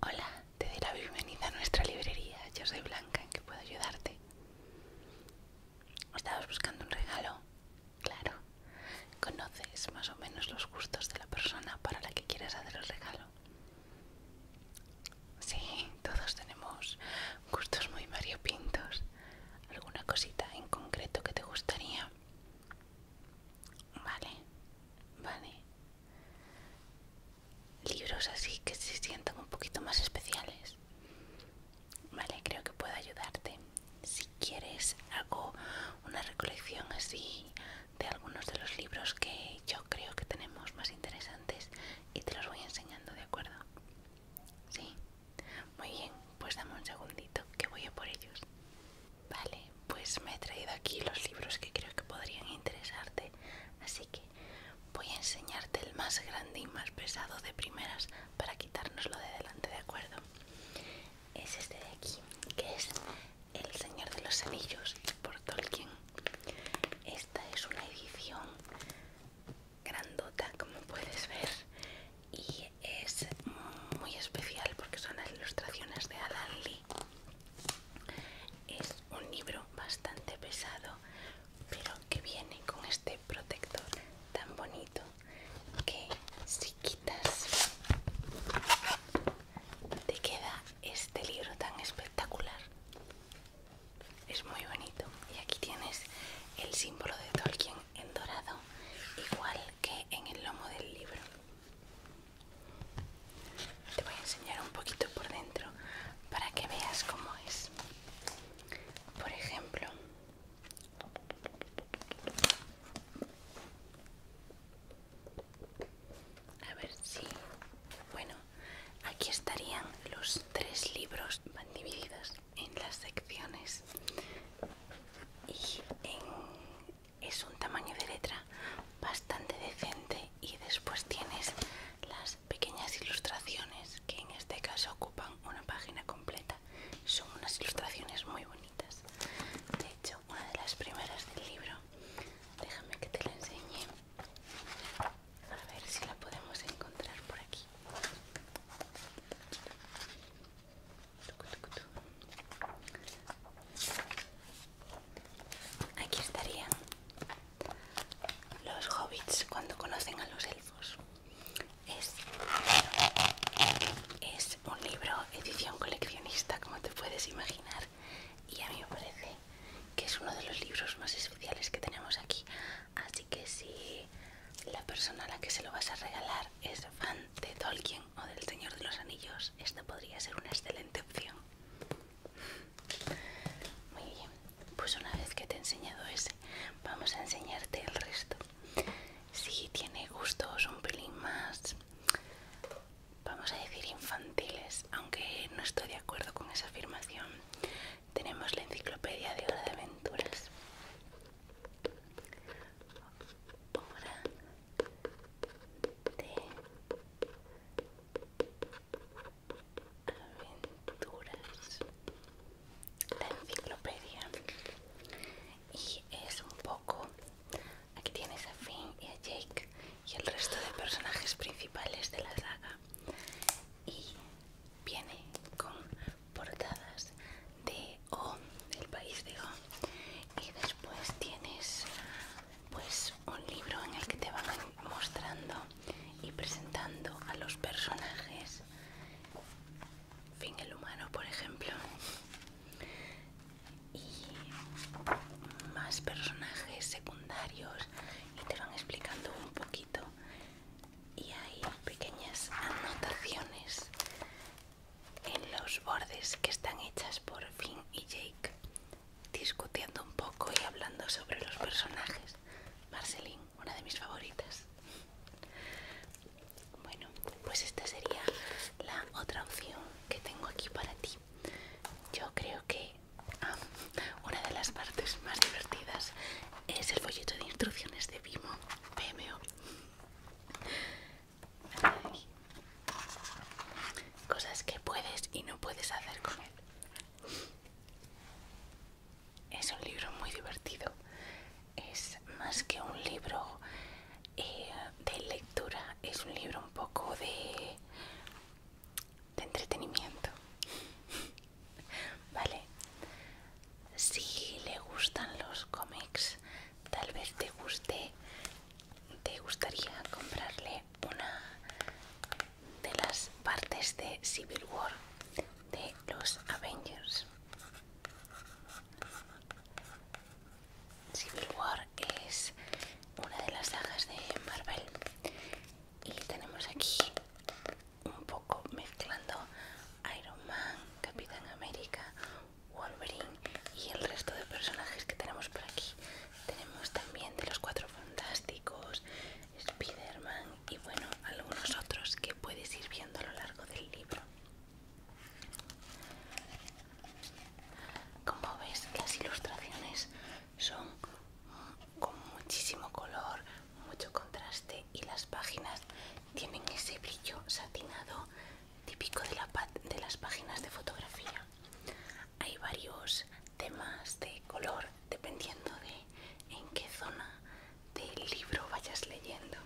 Hola, te doy la bienvenida a nuestra librería. Yo soy Blanca, ¿en qué puedo ayudarte? ¿Estabas buscando un regalo? Claro. ¿Conoces más o menos los gustos de la persona para la que quieres hacer el regalo? Sí, todos tenemos gustos muy variopintos. ¿Alguna cosita en concreto que te gustaría? Vale, vale libros así que se sientan un poquito más especiales. Vale, creo que puedo ayudarte. Si quieres, hago una recolección así de algunos de los libros que yo creo que tenemos más interesantes y te los voy enseñando, ¿de acuerdo? Sí. Muy bien, pues dame un segundito que voy a por ellos. Vale, pues me he traído aquí los libros que creo que podrían interesarte, así que voy a enseñarte el más grande y más pesado de primeras para quitárnoslo de delante, ¿de acuerdo? Es este de aquí, que es El Señor de los Anillos por Tolkien. Esta es una edición grandota, como puedes ver, y es muy especial porque son las ilustraciones de Alan Lee es un libro bastante pesado, pero que viene con este protector tan bonito que si quitas te queda este libro tan espectacular. Es muy bonito y aquí tienes el símbolo de Tolkien en dorado, igual que en el lomo del libro. Te voy a enseñar un poquito por dentro para que veas cómo es. Por ejemplo, a ver si... Bueno, aquí estarían los tres libros, van divididos en las secciones y en es un tamaño de letra bastante decente y después tienes las pequeñas ilustraciones que en este caso ocupan una página completa son unas ilustraciones muy bonitas de hecho una de las primeras del libro déjame que te la enseñe a ver si la podemos encontrar por aquí Aquí estarían los hobbits cuando conocen a los elfos. Es, un libro edición coleccionista, como te puedes imaginar, y a mí me parece que es uno de los libros más especiales que tenemos aquí. Así que si la persona a la que se lo vas a regalar es fan de Tolkien, o del Señor de los Anillos, esta podría ser una excelente opción. Muy bien, pues una vez que te he enseñado ese, vamos a enseñarte el resto. Si tiene gustos un pelín más, vamos a decir infantiles, aunque no estoy de acuerdo con esa afirmación, tenemos la enciclopedia de Hora de Aventuras de aventuras la enciclopedia y es un poco aquí tienes a Finn y a Jake y el resto de personajes principales de la saga y viene con portadas de O, el país de O. Y después tienes pues un libro en el que te van mostrando y presentando a los personajes. Fin el humano, por ejemplo. Y más personajes secundarios y te van explicando un poquito. Y hay pequeñas anotaciones en los bordes que están hechas por Finn y Jake, discutiendo un poco y hablando sobre los personajes. Marceline, una de mis favoritas. Bueno, pues esta sería la otra opción que tengo aquí para ti. Yo creo que ah, una de las partes más divertidas es el folleto de instrucciones de Vimo, PMO. Cosas que puedes y no puedes hacer con él. Es un libro muy divertido. Es más que un libro eh, de lectura, es un libro un poco de, de entretenimiento. vale. Si le gustan los cómics, tal vez te guste te gustaría comprarle una de las partes de Civil War de los Avengers Civil War es una de las sagas de Marvel y tenemos aquí un poco mezclando Iron Man, Capitán América, Wolverine y el resto de personajes que tenemos por aquí. Tenemos también de los cuatro fantásticos, Spider-Man y bueno, algunos otros que puedes ir viendo a lo largo del libro. Como ves, las ilustraciones son con muchísimo color, mucho contraste y las páginas tienen ese brillo satinado típico de, las páginas de fotografía. Hay varios temas de color dependiendo de en qué zona del libro vayas leyendo.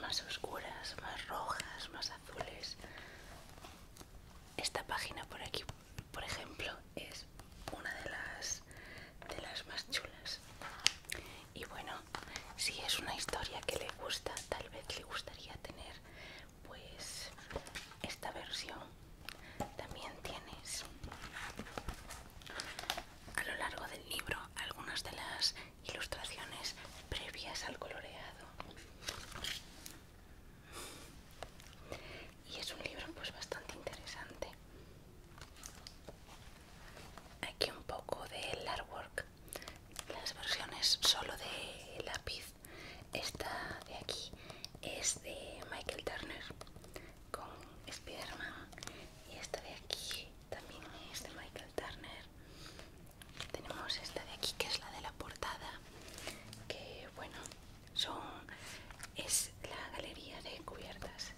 Más oscuras, más rojas, más azules. Esta página por aquí, por ejemplo, es una de las de las más chulas. Y bueno, si es una historia que le gusta, tal vez le gustaría tener pues esta versión. También tienes a lo largo del libro algunas de las ilustraciones previas al coloreado. Y es un libro pues bastante interesante. Aquí un poco del artwork, las versiones solo de lápiz. Esta de aquí es de Michael Turner con Spiderman y esta de aquí también es de Michael Turner. Tenemos esta de aquí que es la de la portada, que bueno, son es la galería de cubiertas.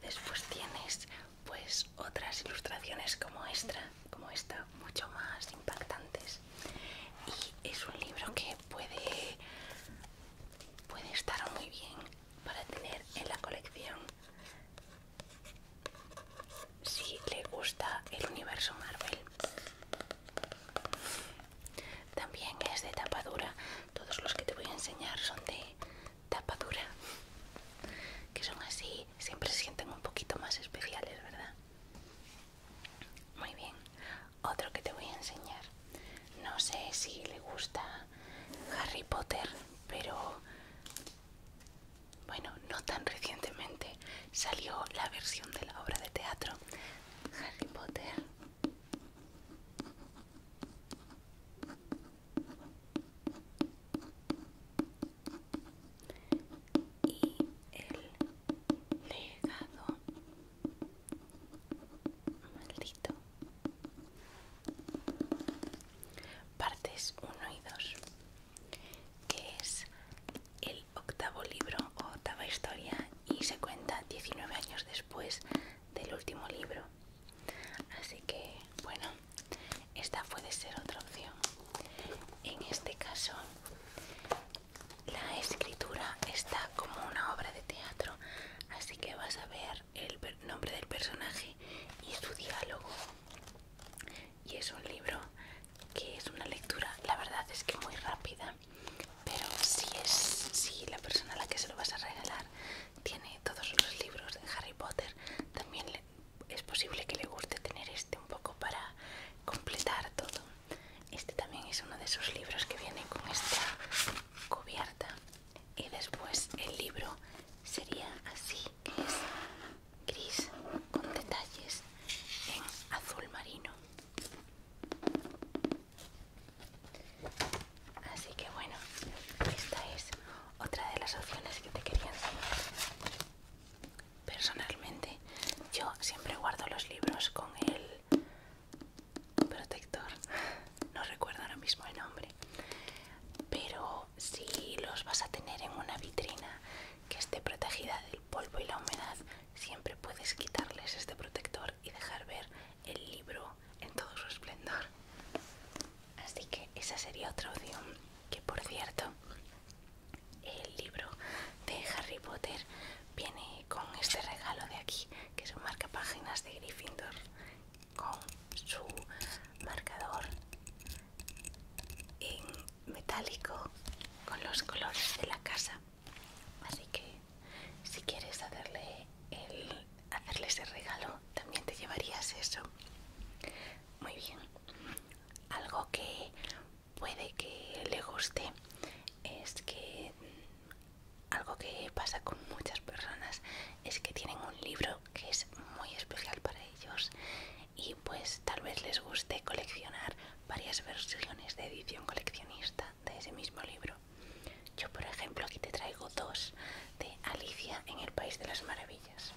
Después tienes pues otras ilustraciones como esta, como esta, mucho más impactantes. Y es un libro que puede, puede estar muy bien para tener en la colección. Si le gusta el universo Marvel. También es de tapa dura. Todos los que te voy a enseñar son de tapadura que son así siempre se sienten un poquito más especiales verdad muy bien otro que te voy a enseñar no sé si le gusta Harry Potter pero bueno no tan recientemente salió la versión de la obra de teatro Harry Potter y el legado maldito partes 1 y 2 que es el octavo libro o octava historia y se cuenta 19 años después del último libro así que bueno esta puede ser otra opción en este caso la escritura está como una obra de teatro así que vas a ver el nombre del personaje y su diálogo y es un libro que es una lectura la verdad es que muy rápida pero si es si la persona a la que se lo vas a regalar tiene todos los libros de Harry Potter. También es posible que le guste tener este un poco para completar todo. Este también es uno de sus libros que viene con esta cubierta. Y después el libro sería así, es gris con detalles en azul marino. Así que bueno, esta es otra de las opciones que te quería enseñar. Personalmente, yo siempre guardo los libros con el protector. No recuerdo ahora mismo el nombre. Pero si los vas a tener en una vitrina que esté protegida del polvo y la humedad, siempre puedes quitarles este protector y dejar ver el libro en todo su esplendor. Así que esa sería otra opción. Que por cierto, el libro de Harry Potter viene con este regalo de aquí, que es marca páginas de Gryffindor, con su marcador en metálico con los colores de la casa. Así que si quieres hacerle, el, hacerle ese regalo, también te llevarías eso. Muy bien. Algo que puede que le guste es que mm, algo que pasa con muchas personas es que tienen un libro que es muy especial para ellos y pues tal vez les guste coleccionar varias versiones de edición coleccionista de ese mismo libro. Yo, por ejemplo, aquí te traigo dos de Alicia en el País de las Maravillas.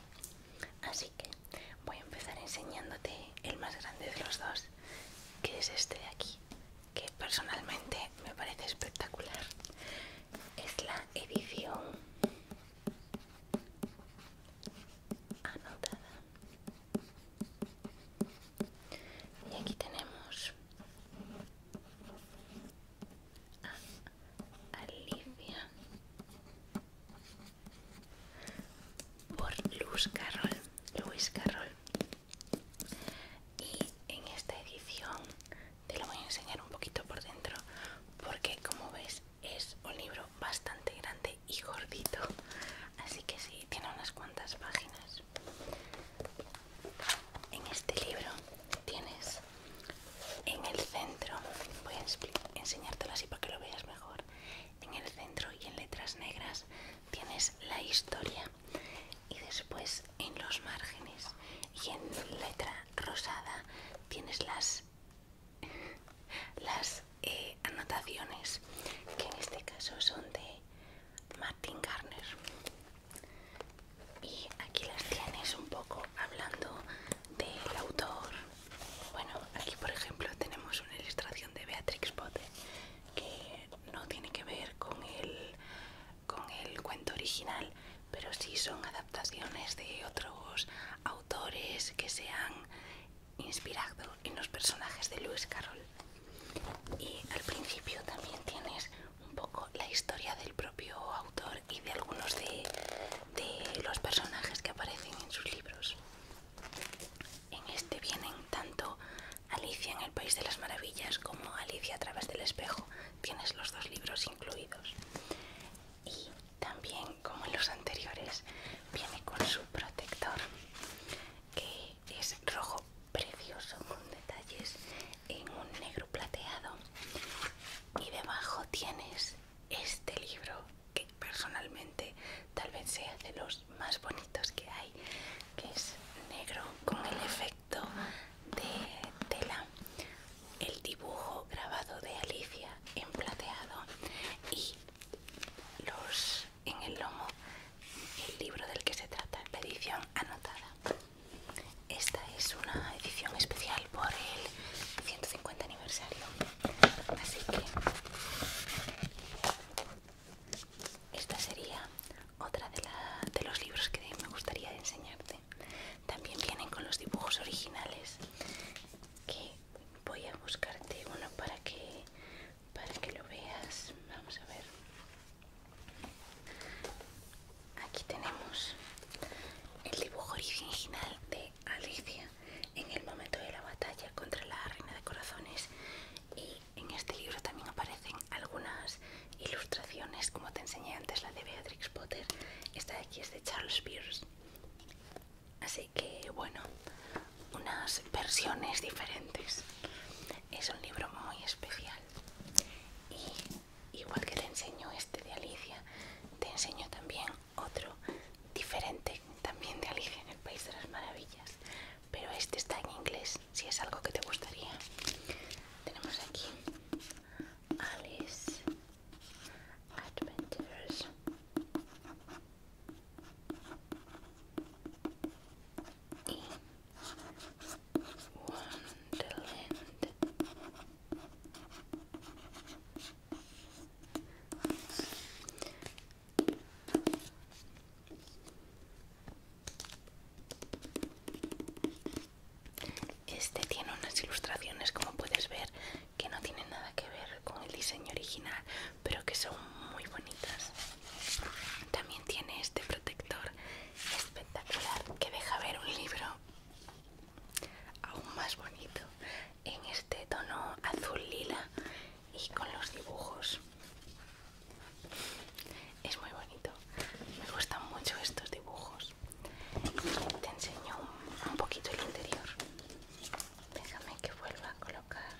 Así que voy a empezar enseñándote el más grande de los dos, que es este de aquí, que personalmente me parece espectacular. Es la edición anotada. Y aquí tenemos a Alicia por Lewis Luis Carroll. Y en esta edición te lo voy a enseñar un poquito por dentro porque como ves es un libro bastante grande y gordito. Así que sí, tiene unas cuantas páginas. En este libro tienes en el centro, voy a enseñártelo así para que lo veas mejor, en el centro y en letras negras tienes la historia y después en los márgenes y en letra rosada tienes las, las eh, anotaciones que en este caso son de Tim Garner. Y aquí las tienes un poco hablando del autor. Bueno, aquí por ejemplo tenemos una ilustración de Beatrix Potter que no tiene que ver con el, con el cuento original, pero sí son adaptaciones de otros autores que se han inspirado en los personajes de Lewis Carroll y al principio también tienes un poco la historia del propio autor y de algunos de, los personajes que aparecen en sus libros. En este vienen tanto Alicia en el País de las Maravillas como Alicia a través del espejo. Tienes los dos libros incluidos. Y también, como en los anteriores, viene con su protector, que es rojo precioso con detalles en un negro plateado y debajo tienes este libro que personalmente tal vez sea de los más bonitos que hay que es negro con el efecto de tela el dibujo grabado de Alicia en plateado y los en el lomo el libro del que se trata, la edición anotada. Esta es una edición especial por el 150 aniversario. Así que esta sería otra de, de los libros que me gustaría enseñarte. También vienen con los dibujos originales que voy a buscarte uno para que para que lo veas vamos a ver aquí tenemos el dibujo original de Alicia en el momento de la batalla contra la reina de corazones y en este libro también aparecen algunas ilustraciones como te enseñé antes la de Beatrix Potter esta de aquí es de Charles Pierce así que bueno unas versiones diferentes es un libro muy especial. Y igual que te enseño este de Alicia, te enseño también otro diferente, también de Alicia en el País de las Maravillas. Pero este está en inglés, si es algo que te gustaría. Tenemos aquí Alice Adventures. Este tiene unas ilustraciones, como puedes ver, que no tienen nada que ver con el diseño original pero que son muy bonitas. También tiene este protector espectacular que deja ver un libro aún más bonito en este tono azul lila y con los dibujos. Es muy bonito. Me gustan mucho estos dibujos. Te enseño un, un poquito el interior. Déjame que vuelva a colocar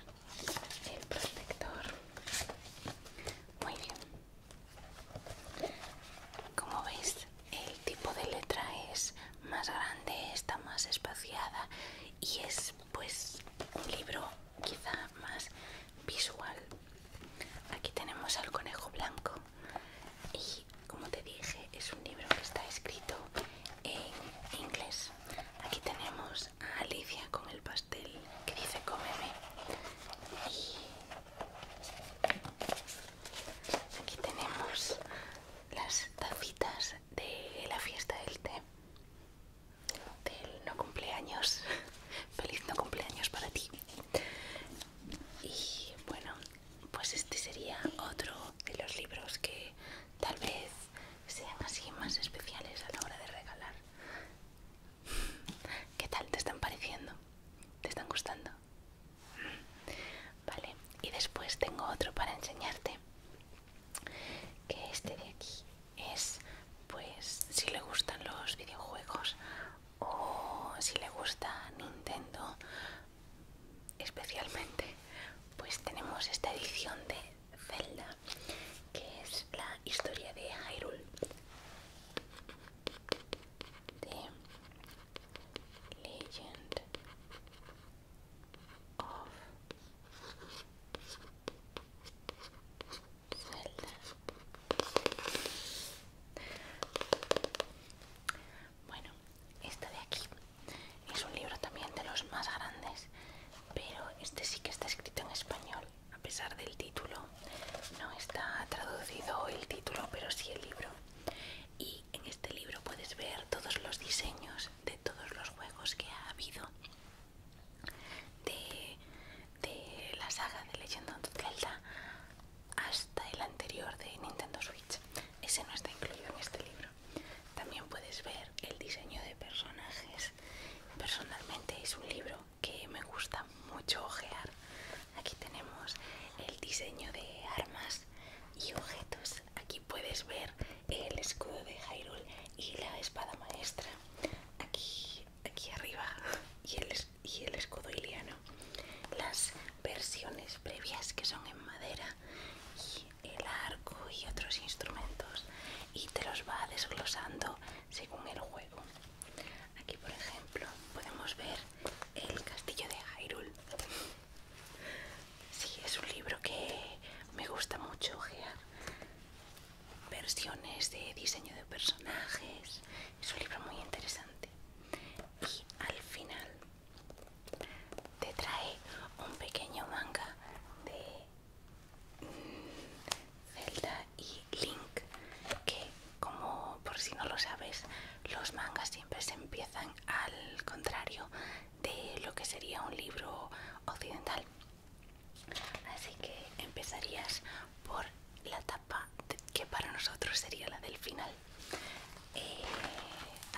el protector muy bien como veis el tipo de letra es más grande está más espaciada y es pues un libro quizá más visual aquí tenemos al conejo blanco y como te dije es un libro que está escrito en inglés aquí tenemos a Alicia con el pastel que dice cómeme. Y aquí tenemos las tacitas de la fiesta del té. Del no cumpleaños. Feliz no cumpleaños para ti. Y bueno, pues este sería otro de los libros que tal vez sean así más especiales a la hora de regalar. ¿Qué tal? ¿Te están pareciendo? ¿Te están gustando? Vale, y después tengo otro para enseñarte. Que este de aquí es, pues, si le gustan los videojuegos o si le gusta Nintendo especialmente, pues tenemos esta edición de Zelda, que es la historia de Hyrule de Legend of Zelda. Bueno, esta de aquí es un libro también de los más grandes pero este sí que está escrito en español, a pesar del título. No está traducido el título, pero sí el libro. Y en este libro puedes ver todos los diseños de todos los juegos que ha habido de, la saga de Legend of Zelda hasta el anterior de Nintendo Switch. Ese no está incluido en este libro. También puedes ver el diseño de personajes personalmente es un libro que me gusta mucho ojear. Aquí tenemos el diseño de armas y objetos. Aquí puedes ver el escudo de Hyrule y la espada maestra. Aquí, aquí arriba y el, y el escudo iliano. Las versiones previas que son en madera el arco y otros instrumentos y te los va desglosando según el juego. Aquí, por ejemplo, podemos ver El Castillo de Hyrule. Sí, es un libro que me gusta mucho Versiones de diseño de personajes. Es un libro muy interesante. Y al final te trae un pequeño manga de Zelda y Link, que como por si no lo sabes, los mangas siempre se empiezan al contrario de lo que sería un libro occidental. Así que empezarías por la etapa que para nosotros sería la del final. Eh,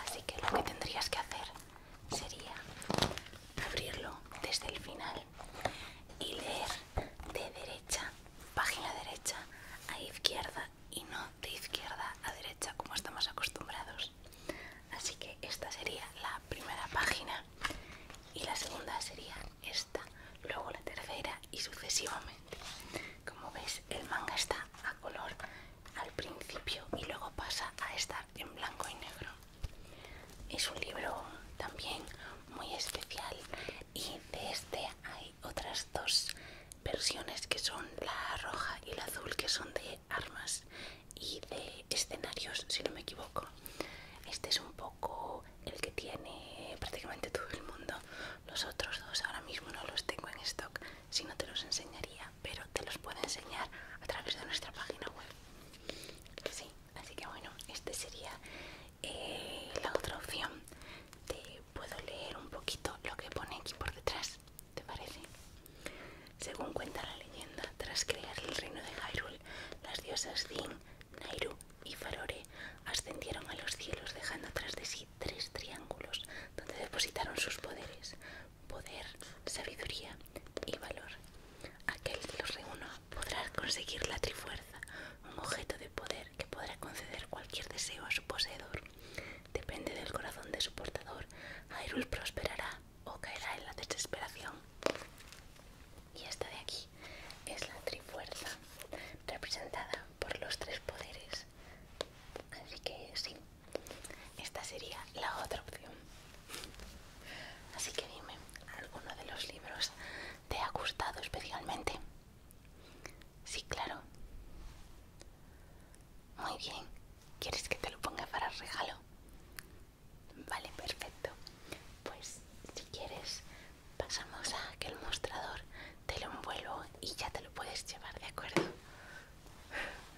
así que lo que tendrías que hacer sería abrirlo desde el final y leer de derecha, página derecha a izquierda y no de izquierda a derecha como estamos acostumbrados. Así que esta sería la primera página y la segunda sería esta, luego la tercera y sucesivamente. Como ves, el manga está a color al principio y luego pasa a estar en blanco y negro. Es un libro también muy especial y de este hay otras dos versiones que son la roja y la azul que son de armas y de escenarios si no me equivoco. Este es un poco el que tiene prácticamente todo el mundo. Los otros dos ahora mismo no los tengo en stock, si no te los enseñaría, pero te los puedo enseñar a través de nuestra página web. Sí, así que bueno, esta sería eh, la otra opción. Te puedo leer un poquito lo que pone aquí por detrás, ¿te parece? Según cuenta la leyenda, tras crear el reino de Hyrule, las diosas Din, Nairu y Farore ascendieron a los cielos dejando atrás de sí tres triángulos donde depositaron sus poderes poder, sabiduría y valor. Aquel que los reúna podrá conseguir la trifuerza, un objeto de poder que podrá conceder cualquier deseo a su poseedor. Depende del corazón de su portador, Hyrule prosperará o caerá en la desesperación. Y esta de aquí es la trifuerza, representada por los tres poderes. Así que sí, esta sería la otra opción. Así que dime, ¿alguno de los libros te ha gustado especialmente? Sí, claro. Muy bien. ¿Quieres que te lo ponga para regalo? Vale, perfecto. Pues si quieres, pasamos a que el mostrador te lo envuelvo y ya te lo puedes llevar, ¿de acuerdo?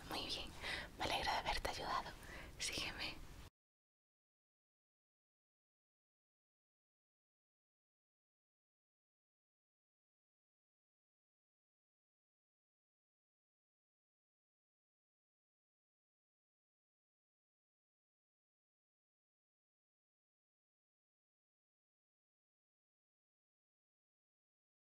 Muy bien, me alegra de haberte ayudado. Sígueme.